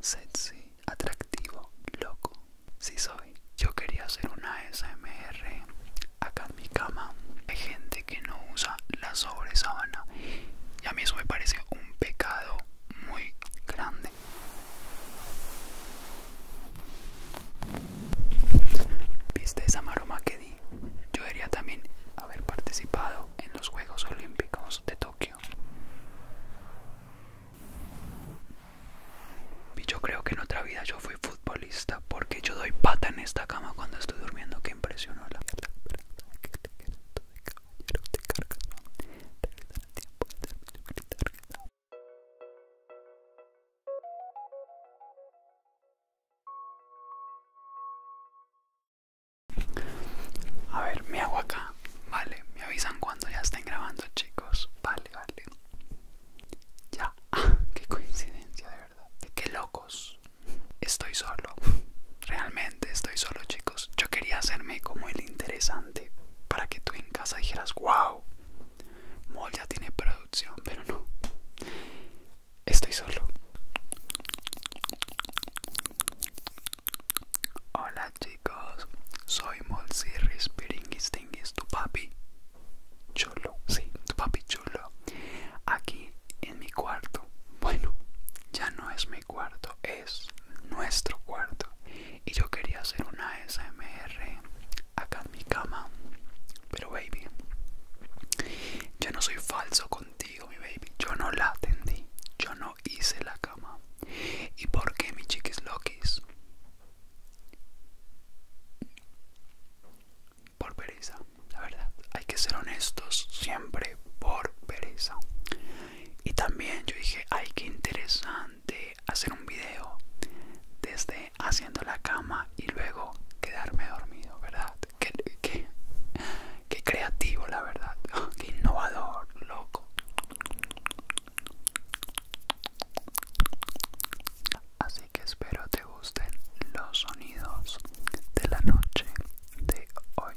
Sexy, atractivo, loco. Sí soy. Yo quería hacer una SMR acá en mi cama. Hay gente que no usa la sobresábana. Y a mí eso me parece un pecado muy grande. ¿Viste esa maroma que di? Yo debería también haber participado en los Juegos Olímpicos de Tokio. Y yo creo que en otra vida yo fui futbolista porque yo doy pata en esta cama cuando estoy durmiendo que impresionó la a ver, me hago acá. Vale, me avisan cuando ya estén grabando, chicos. Vale, vale. Ya. qué coincidencia, de verdad. Qué locos. Estoy solo. Realmente estoy solo, chicos. Yo quería hacerme como el interesante para que tú en casa dijeras, wow, Mol ya tiene producción, pero no. Estoy solo. Hola chicos, soy Molsirris Piringuis tu papi chulo, sí, tu papi chulo. Aquí en mi cuarto, bueno, ya no es mi cuarto, es nuestro cuarto. Y yo quería hacer una SMR acá en mi cama, pero baby, yo no soy falso contigo, mi baby. Yo no la atendí, yo no hice la cama. ¿Y por qué, mi chiquis loquis? Por pereza, la verdad. Hay que ser honestos siempre por pereza. Y también yo dije, ay, qué interesante hacer un video desde haciendo la cama y luego quedarme dormido, ¿verdad? ¿Qué? que, Qué creativo, la verdad. Qué innovador, loco. Así que espero te gusten los sonidos de la noche de hoy.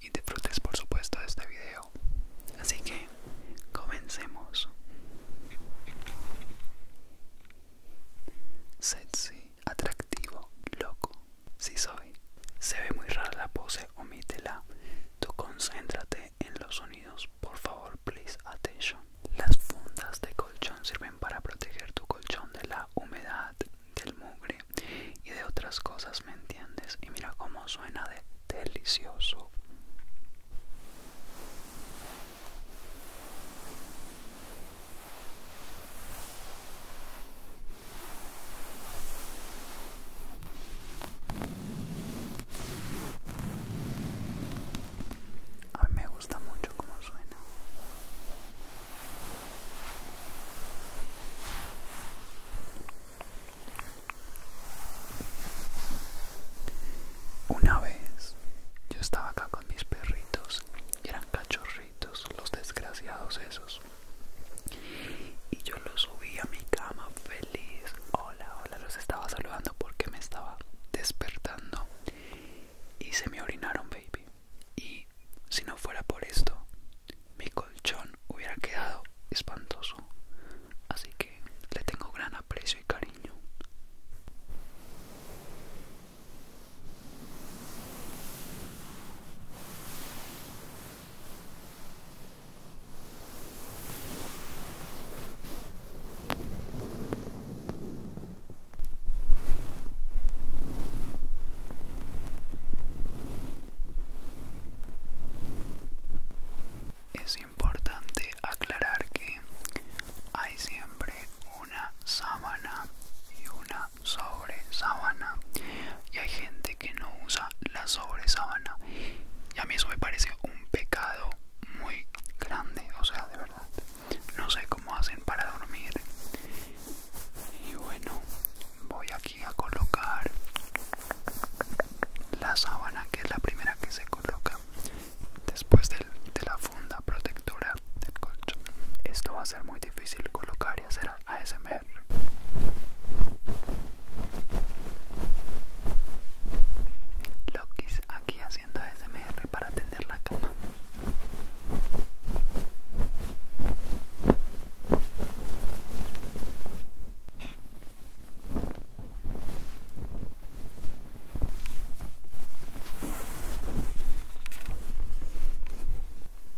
Y disfrutes, por supuesto, de este video. Así que comencemos. Setsi atractivo, loco. Si soy. Se ve muy rara la pose, omítela. Tú concéntrate en los sonidos, por favor, please attention. Las fundas de colchón sirven para proteger tu colchón de la humedad, del mugre y de otras cosas, ¿me entiendes? Y mira cómo suena de delicioso. A mí me gusta mucho cómo suena. Una vez yo estaba acá con mis perritos eran cachorros los desgraciados esos. Y yo los subí a mi cama feliz. Hola, hola, los estaba saludando porque me estaba despertando. Y se me orinaron, baby. Y si no fuera por esto, mi colchón hubiera quedado espantoso. Así que le tengo gran aprecio y cariño. Es importante aclarar que hay siempre una sábana y una sobre sábana y hay gente que no usa la sobre sábana y a mí eso me parece un pecado muy grande o sea de verdad no sé cómo hacen para dormir y bueno voy aquí a colocar la sábana que es la primera que se coloca después de la funda protectora esto va a ser muy difícil colocar y hacer ASMR. Lokis aquí haciendo ASMR para atender la cama.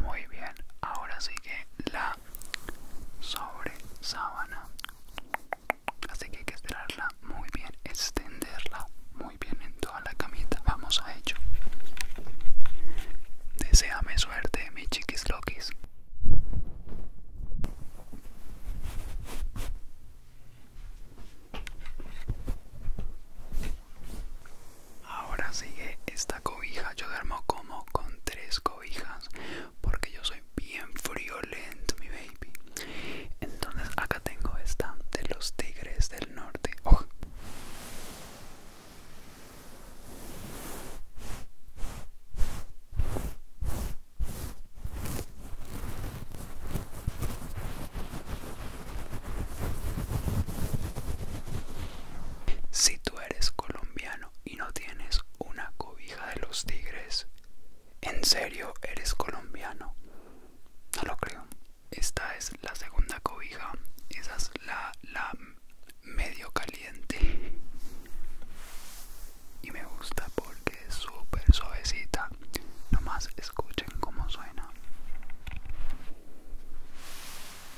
Muy bien, ahora sigue la sobre sábana. Así que hay que esperarla, muy bien, extenderla muy bien en toda la camita. Vamos a ello. Deseame suerte, mi chiquis loquis. Ahora sigue esta cobija. Yo duermo como con tres cobijas porque yo soy bien friolento, mi baby. Entonces acá tengo esta de los tigres del norte. Oh. Si tú eres colombiano y no tienes una cobija de los tigres, ¿en serio eres colombiano? No lo creo. Esta es la segunda cobija. Esa es la, medio caliente. Y me gusta porque es súper suavecita. Nomás escuchen cómo suena.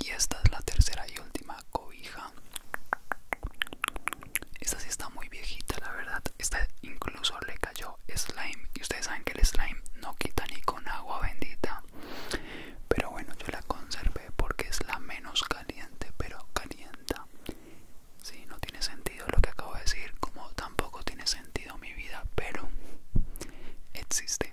Y esta es la tercera y última cobija. Esta sí está muy viejita, la verdad. Esta incluso le cayó slime. Y ustedes saben que el slime no quita ni con agua bendita. Pero bueno, yo la conservé porque es la menos caliente, pero calienta. Sí, no tiene sentido lo que acabo de decir, como tampoco tiene sentido mi vida, pero existe.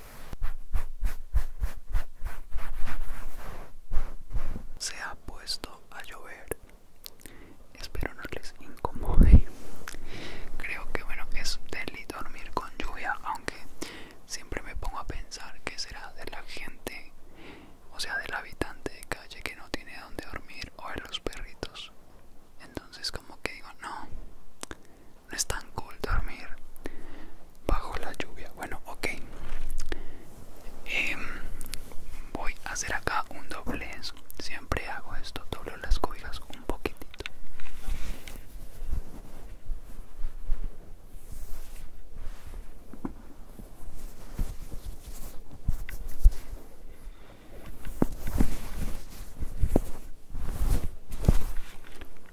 Se ha puesto a llover. Espero no les incomode. Creo que bueno, es deli dormir con lluvia, aunque siempre me pongo a pensar que será de la gente, o sea, del habitante de calle que no tiene donde dormir o de los perritos. Entonces como que digo, no, no es tan cool dormir bajo la lluvia. Bueno, ok. Em, voy a hacer acá un doblez. Siempre hago esto, doblo las cubijas un poquitito.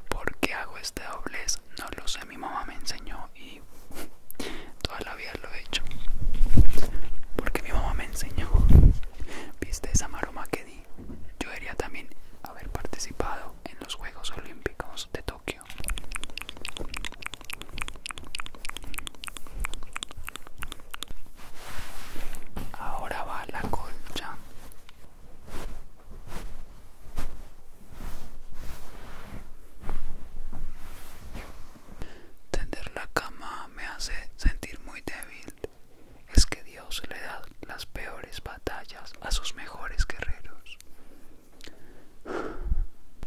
¿Por qué hago este doblez? no lo sé, mi mamá me enseñó y toda la vida lo he hecho. Porque mi mamá me enseñó. ¿Viste esa maroma que di? Yo debería también haber participado en los Juegos Olímpicos de Tokio. Ahora va la colcha. Tender la cama me hace sentir muy débil. Es que Dios le da las peores batallas a sus mejores guerreros.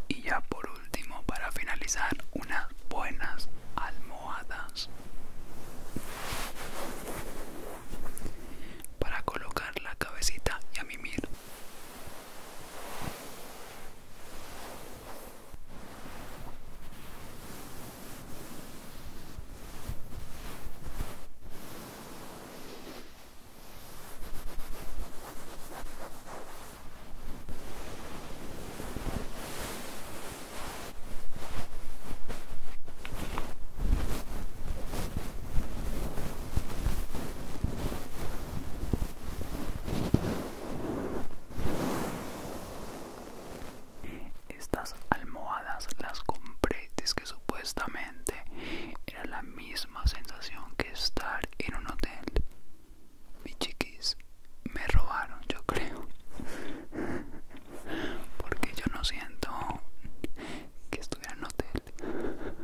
Y ya por último, para finalizar, unas buenas almohadas para colocar la cabecita y a mimir. Estas almohadas las compré es que supuestamente era la misma sensación que estar en un hotel. Mi chiquis, me robaron, yo creo. Porque yo no siento que estuviera en hotel.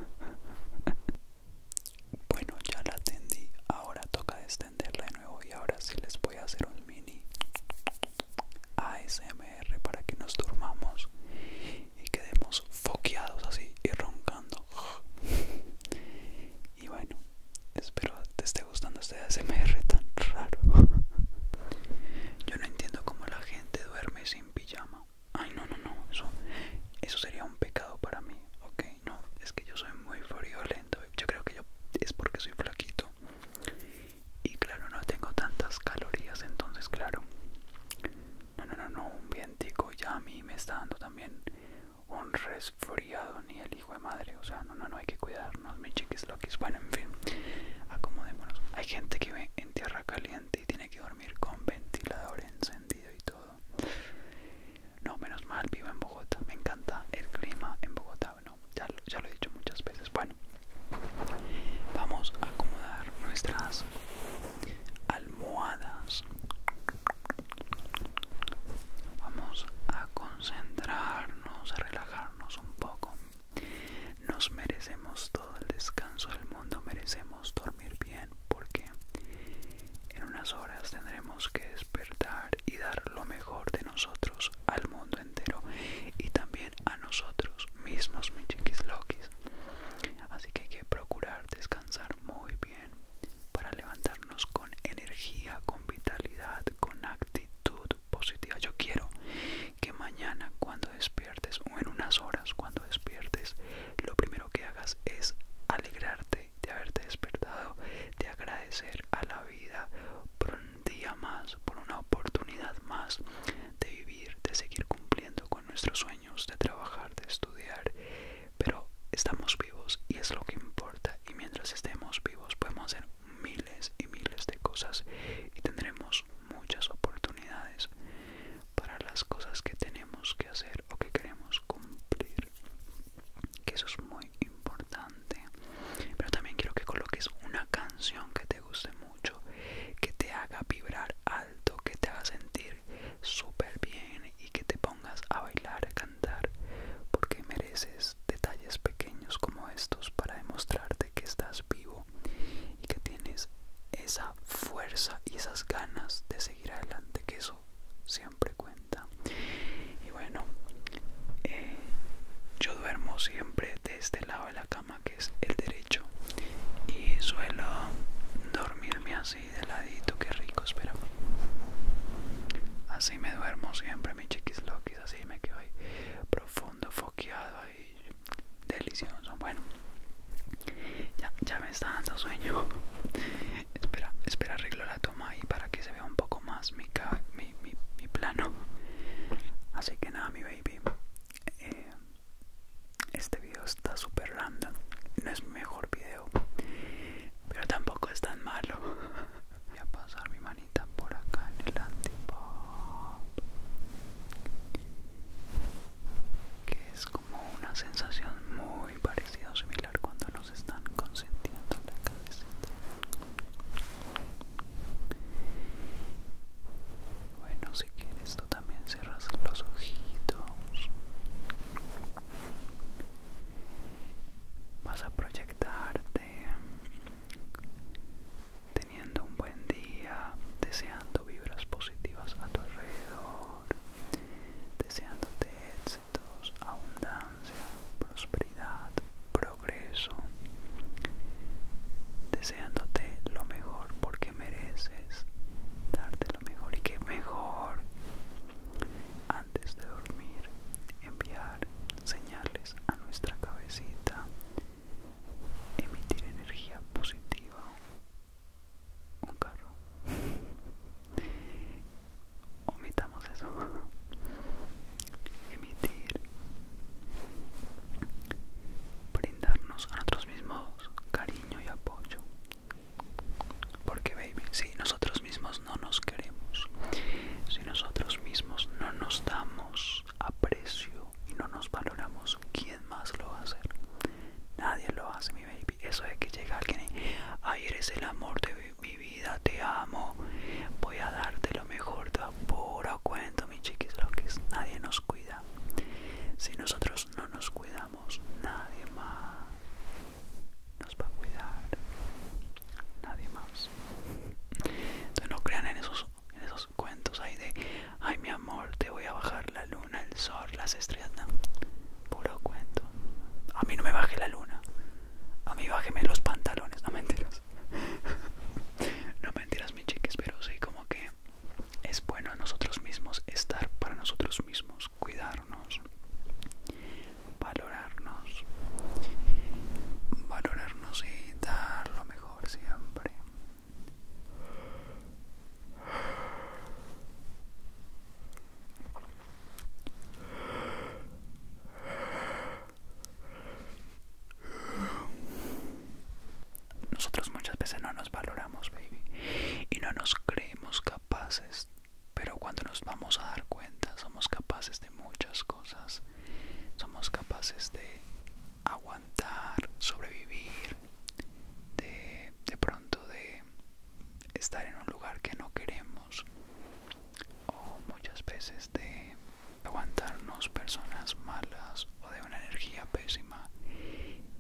Bueno, ya la atendí ahora toca extenderla de nuevo y ahora sí les voy a hacer un mini ASMR para que nos durmamos y quedemos foqueados así y roncando. Y bueno, espero te esté gustando este ASMR tan raro. Yo no entiendo cómo la gente duerme sin pijama. Ay, no, no, no, eso, sería un pecado para mí, ok. No, es que yo soy muy friolento. Yo creo que yo es porque soy flaquito. Y claro, no tengo tantas calorías, entonces, claro. No, no, no, no, un vientico ya a mí me está dando también un resfriado, ni el hijo de madre. O sea, no, no, no hay que cuidarnos, mis chiquis loquis. Bueno, en fin, acomodémonos. Hay gente que ve en tierra caliente y tiene que dormir con ventilador encendido y todo. No, menos mal, vivo en Bogotá. Me encanta el clima en Bogotá. Bueno, ya, ya lo he dicho muchas veces. Bueno, vamos a acomodar nuestras almohadas. Vamos a concentrarnos, a relajarnos un poco. Nos merecemos todo el descanso del mundo, merecemos dormir bien porque en unas horas tendremos que despertar y dar lo mejor de nosotros al mundo entero y también a nosotros mismos, mis chiquislokis. Así que hay que procurar descansar muy bien para levantarnos con energía, con vitalidad, con actitud positiva. Yo quiero que mañana cuando despiertes o en unas horas cuando despiertes, lo primero que hagas es alegrarte de haberte despertado, de agradecer a la vida por un día más, por una oportunidad más de vivir, de seguir cumpliendo con nuestros sueños, de trabajar, de estudiar. Pero estamos vivos y es lo que importa. Y mientras estemos vivos podemos hacer miles y miles de cosas y tendremos muchas oportunidades para las cosas que tenemos que hacer o que queremos cumplir que eso es muy importante pero también quiero que coloques una canción que te guste mucho que te haga vibrar alto que te haga sentir súper bien y que te pongas a bailar a cantar porque mereces detalles pequeños como estos para demostrarte que estás vivo y que tienes esa fuerza y esas ganas de seguir adelante, que eso siempre cuenta. Y bueno, eh, yo duermo siempre de este lado de la cama, que es el derecho, y suelo dormirme así de ladito, que rico, espera. Así me duermo siempre, mi chiquis loquis, así me quedo ahí profundo foqueado ahí delicioso bueno ya, me está dando sueño espera arreglo la toma y para que se vea un poco más mi, mi, plano así que nada mi baby eh, este video está super random no es mi mejor video pero tampoco es tan malo voy pasar mi por acá en el antipop que es como una sensación muy parecida o similar cuando nos están consentiendo la cabeza bueno si quieres tú también cerras los ojitos vas a proyectarte teniendo un buen día, deseando vibras positivas a tu alrededor, deseándote éxitos, abundancia, prosperidad, progreso, deseándote lo mejor porque mereces darte lo mejor y que mejor antes de dormir enviar señales a nuestra cabecita emitir energía positiva un carro omitamos eso emitir brindarnos a nosotros mismos cariño y apoyo porque baby si nosotros mismos no nos queremos si nosotros mismos no nos damos aprecio y no nos valoramos, ¿quién más lo va a hacer? Nadie lo hace, mi baby. Eso de que llega alguien y, eres el amor de mi vida, te amo, voy a darte lo mejor, te apuro, cuento, mi chiquis, lo que es. Nadie nos cuida. Si nosotros no nos cuidamos, nadie más nos va a cuidar. Nadie más. Entonces no crean en esos, en esos cuentos ahí de ay mi amor te voy a bajar la luna el sol las estrellas puro cuento a mí no me baje la luna a mí bájeme los pantalones no mentiras no mentiras mi chiques pero sí como que es bueno a nosotros mismos estar para nosotros mismos cuidarnos valorarnos valorarnos y dar lo mejor siempre. Nosotros muchas veces no nos valoramos, baby, y no nos creemos capaces, pero cuando nos vamos a dar cuenta somos capaces de muchas cosas somos capaces de aguantar, sobrevivir, de, de pronto de estar en un lugar que no queremos o muchas veces de aguantarnos personas malas o de una energía pésima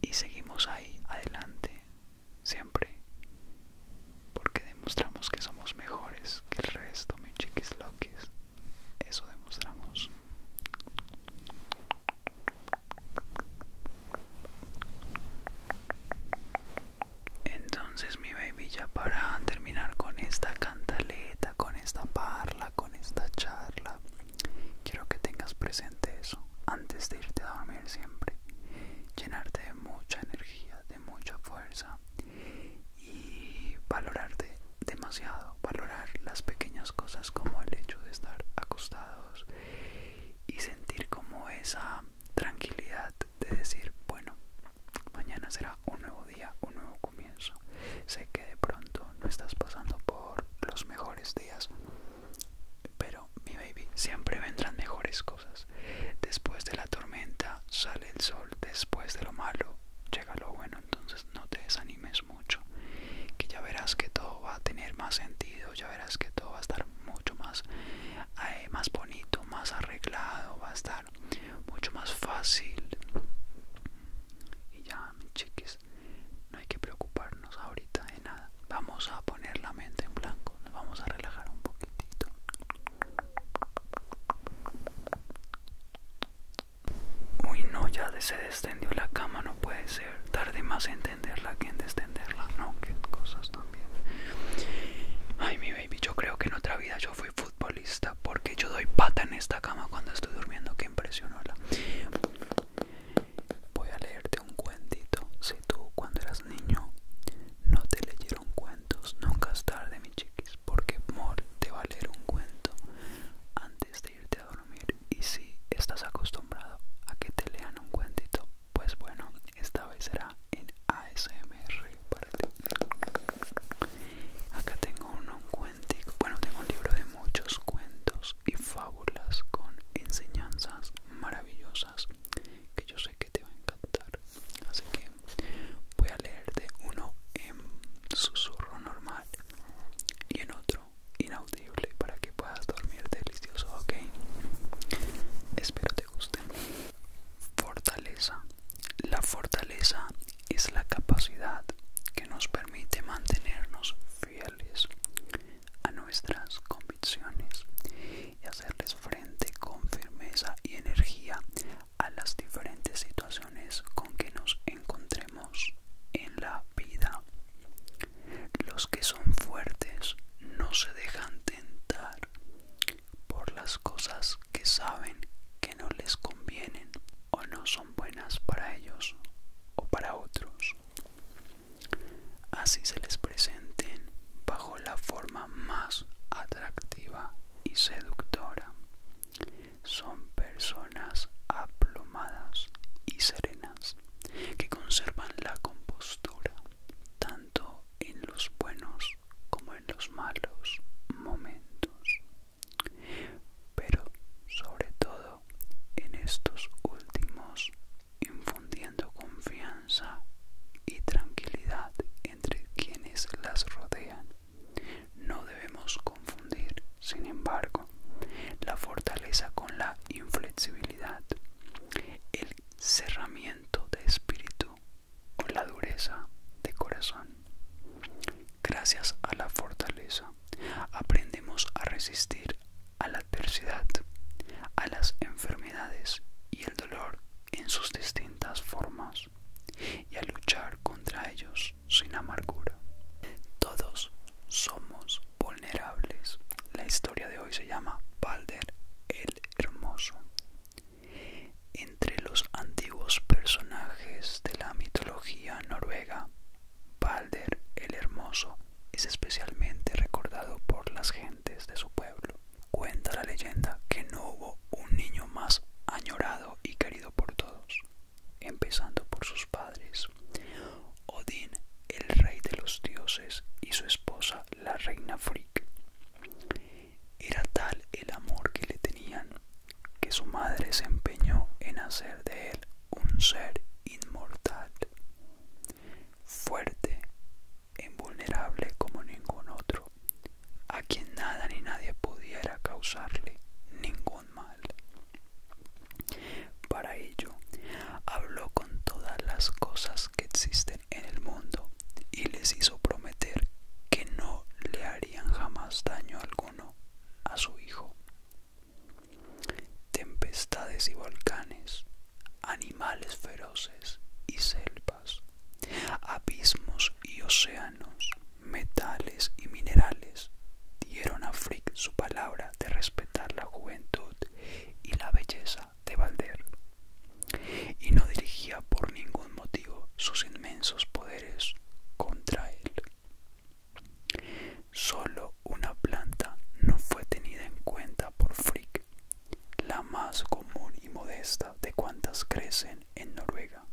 y seguimos ahí adelante siempre porque demostramos que somos mejores que el resto mi chiquis loques eso demostramos. Entonces mi baby ya para terminar con esta cantaleta, con esta parla, con esta charla, quiero que tengas presente eso antes de irte a dormir siempre. Llenarte de mucha energía, de mucha fuerza y valorarte demasiado, valorar las pequeñas cosas como el hecho de estar acostados y sentir como esa tranquilidad de decir, bueno, mañana será un nuevo día, un nuevo comienzo. Sé que de pronto no estás pasando por los mejores días, pero mi baby, siempre vendrán mejores cosas. Después de la tormenta sale el sol, después de lo malo llega lo bueno, entonces no te desanimes mucho, que ya verás que todo va a tener más sentido, ya verás que todo va a estar mucho más, eh, más bonito, más arreglado, va a estar mucho más fácil. Y ya, chiquis, no hay que preocuparnos ahorita de nada. Vamos a poner la mente en blanco, nos vamos a relajar un poquitito. Uy no, ya se descendió la cama, no puede ser. Tarde más en entenderla que en descenderla. No, qué cosas también. Ay, mi baby, yo creo que en otra vida yo fui futbolista porque yo doy pata en esta cama cuando estoy durmiendo. Qué impresionóla. Voy a leerte un cuentito. Si tú cuando eras niño no te leyeron cuentos Nunca es tarde, mi chiquis, porque Mor te va a leer un cuento antes de irte a dormir. Y si estás acostumbrado a que te lean un cuentito, pues bueno, esta vez será en ASMR Acá tengo un cuentico. Bueno, tengo un libro de muchos cuentos y fábulas con enseñanzas maravillosas que yo sé que te va a encantar así que voy a leerte uno en susurro normal y en otro inaudible para que puedas dormir delicioso ok espero te guste fortaleza la fortaleza es la capacidad que nos permite mantenernos fieles a nuestras convicciones y hacerles frente con firmeza y energía a las diferentes situaciones con que nos encontremos en la vida. Los que son fuertes no se dejan tentar por las cosas que saben que no les convienen o no son buenas para ellos o para otros. Así se les presenten bajo la forma más atractiva y seductora. Son personas aplomadas y serenas que conservan la compostura tanto en los buenos como en los malos momentos, pero sobre todo en estos últimos infundiendo confianza y tranquilidad entre quienes las rodean no debemos confundir, sin embargo, la fortaleza con la inflexibilidad, el cerramiento de espíritu con la dureza de corazón. Gracias a la fortaleza, aprendemos a resistir a la adversidad, a las enfermedades y el dolor en sus distintas formas y a luchar contra ellos sin amargura. Todos somos vulnerables. La historia de hoy se llama Balder el Hermoso. Entre los antiguos personajes de la mitología noruega, Balder el Hermoso es especialmente recordado por las gentes de su pueblo. Cuenta la leyenda que no hubo un niño más añorado y querido por todos, empezando por sus padres. Odín, el rey de los dioses, y su esposa, la reina Frigg. Era tal el amor que le tenían que su madre se empeñó en hacer de él un ser inmortal, fuerte e invulnerable como ningún otro a quien nada ni nadie pudiera causarle ningún mal. Para ello, habló con todas las cosas que existen en el mundo y les hizo prometer que no le harían jamás daño alguno a su hijo. Tempestades y volcanes, animales feroces y selvas abismos y océanos, metales y minerales, dieron a Frick su palabra de respetar la juventud y la belleza de Valder y no dirigía por ningún motivo sus inmensos poderes contra él. Solo una planta no fue tenida en cuenta por Frick, la más común y modesta de cuantas crecen en Noruega,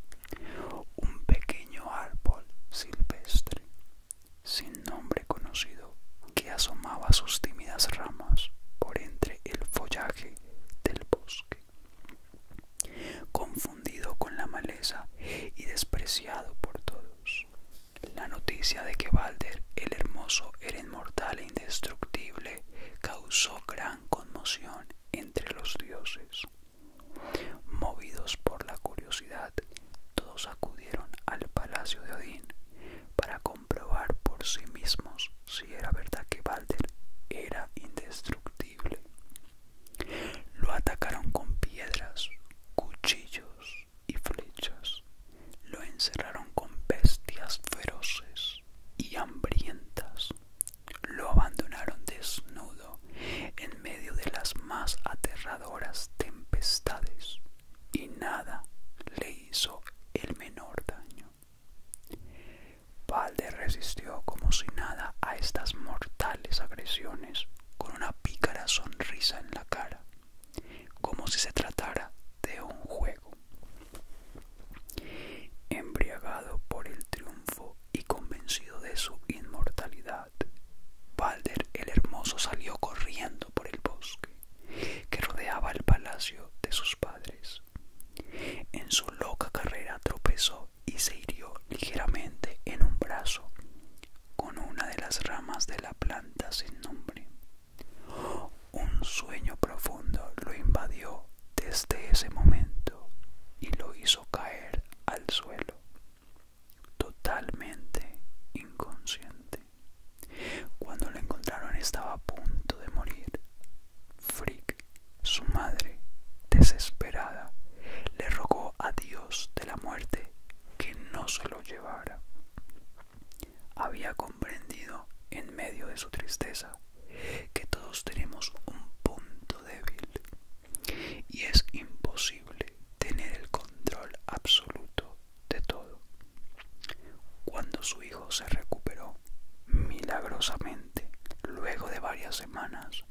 un pequeño árbol silvestre sin nombre conocido que asomaba sus tímidas ramas por entre el follaje del bosque. Confundido con la maleza y despreciado por todos, la noticia de que Balder el Hermoso era inmortal e indestructible causó gran conmoción entre los dioses. Movidos por la curiosidad, todos acudieron al palacio de Odín para comprobar por sí mismos si era verdad que Balder era indestructible. Lo atacaron con piedras, cuchillos y flechas. Lo encerraron con bestias feroces y hambrientas lo abandonaron desnudo en medio de las más aterradoras tempestades y nada le hizo el menor daño. Balder resistió como si nada a estas mortales agresiones con una pícara sonrisa en la cara, como si se tratara de un juego. Embriagado por el triunfo y convencido de su inmortalidad, Balder el Hermoso salió corriendo por el bosque que rodeaba el palacio de sus padres. En su loca carrera tropezó y se hirió ligeramente en un brazo con una de las ramas de la planta sin nombre. Un sueño profundo lo invadió desde ese momento y lo hizo caer al suelo, totalmente inconsciente. Cuando lo encontraron estaba a punto de morir. Frick, su madre, desesperada, le rogó a Dios de la muerte que no se lo llevara. Había comprendido en medio de su tristeza que todos tenemos un punto débil y es imposible tener el control absoluto de todo. Cuando su hijo se recuperó milagrosamente, luego de varias semanas,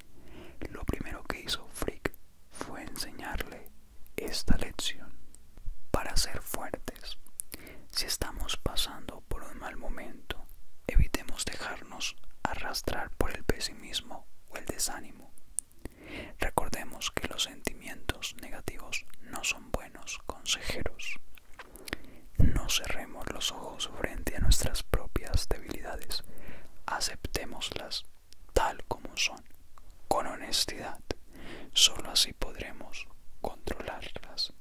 lo primero que hizo Frick fue enseñarle esta lección. Para ser fuerte si estamos pasando por un mal momento, evitemos dejarnos arrastrar por el pesimismo o el desánimo. Recordemos que los sentimientos negativos no son buenos consejeros. No cerremos los ojos frente a nuestras propias debilidades. Aceptémoslas tal como son, con honestidad. Solo así podremos controlarlas.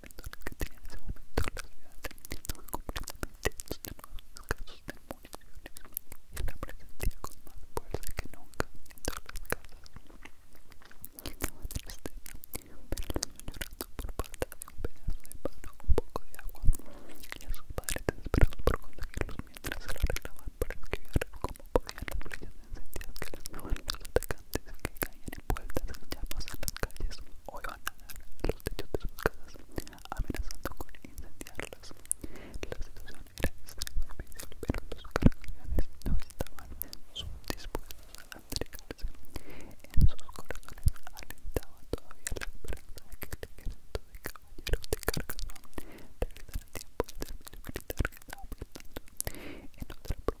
que tenía en ese momento la ciudad teniendo completamente estos nuevos casos de municiones y la presentía con más fuerza que nunca en todas las casas. Estaba triste, pero los llorando por falta de un pedazo de pan o un poco de agua, y a sus padres desesperados por conseguirlos mientras se lo arreglaban para esquivar cómo podían las de encendidas que las estaban atacando. Desde que caían en en ya pasan las calles o iban a dar los techos de sus casas, amenazando con incendiarlas. La situación era extrema difícil, pero los cargadores no estaban dispuestos a entregarse. En sus corazones alentaba todavía la esperanza de que el ejército de caballeros de Carcassonne regresara el tiempo del servicio militar que estaba prestando. En otra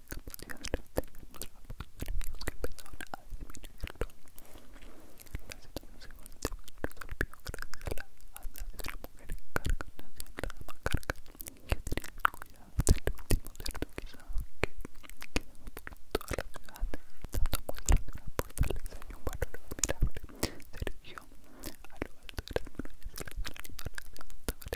que capacidad a pocos enemigos que empezaban a disminuirlo. La situación se resolvió gracias a la de la mujer la dama carga, que el último cerdo quizás que quedaba por toda la ciudad, dando muestras de una y un valor admirable. Se a lo alto de las murallas de las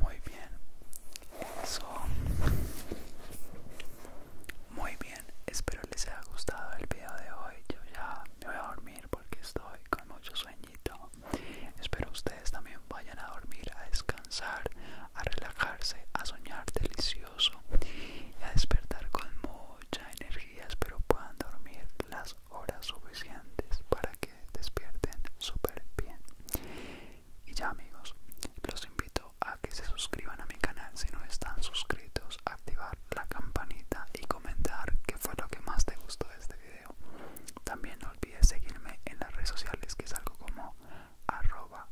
Muy bien, eso. Muy bien, espero les haya gustado el video de hoy. Yo ya me voy a dormir porque estoy con mucho sueñito. Espero ustedes también vayan a dormir, a descansar, a relajarse, a soñar delicioso y a despertar con mucha energía espero puedan dormir las horas suficientes para que despierten súper bien y ya amigos los invito a que se suscriban a mi canal si no están suscritos activar la campanita y comentar qué fue lo que más te gustó de este video también no olvides seguirme en las redes sociales que es algo como arroba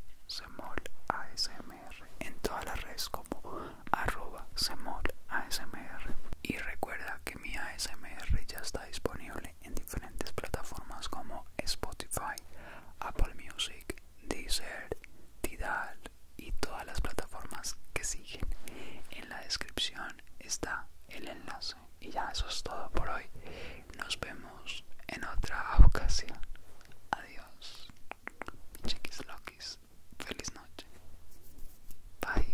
en todas las redes como arroba asmr y recuerda que mi asmr ya está disponible en diferentes plataformas como spotify apple music deezer tidal y todas las plataformas que siguen en la descripción está el enlace y ya eso es todo por hoy nos vemos en otra ocasión adiós Chiquis Loquis, feliz noche. Bye.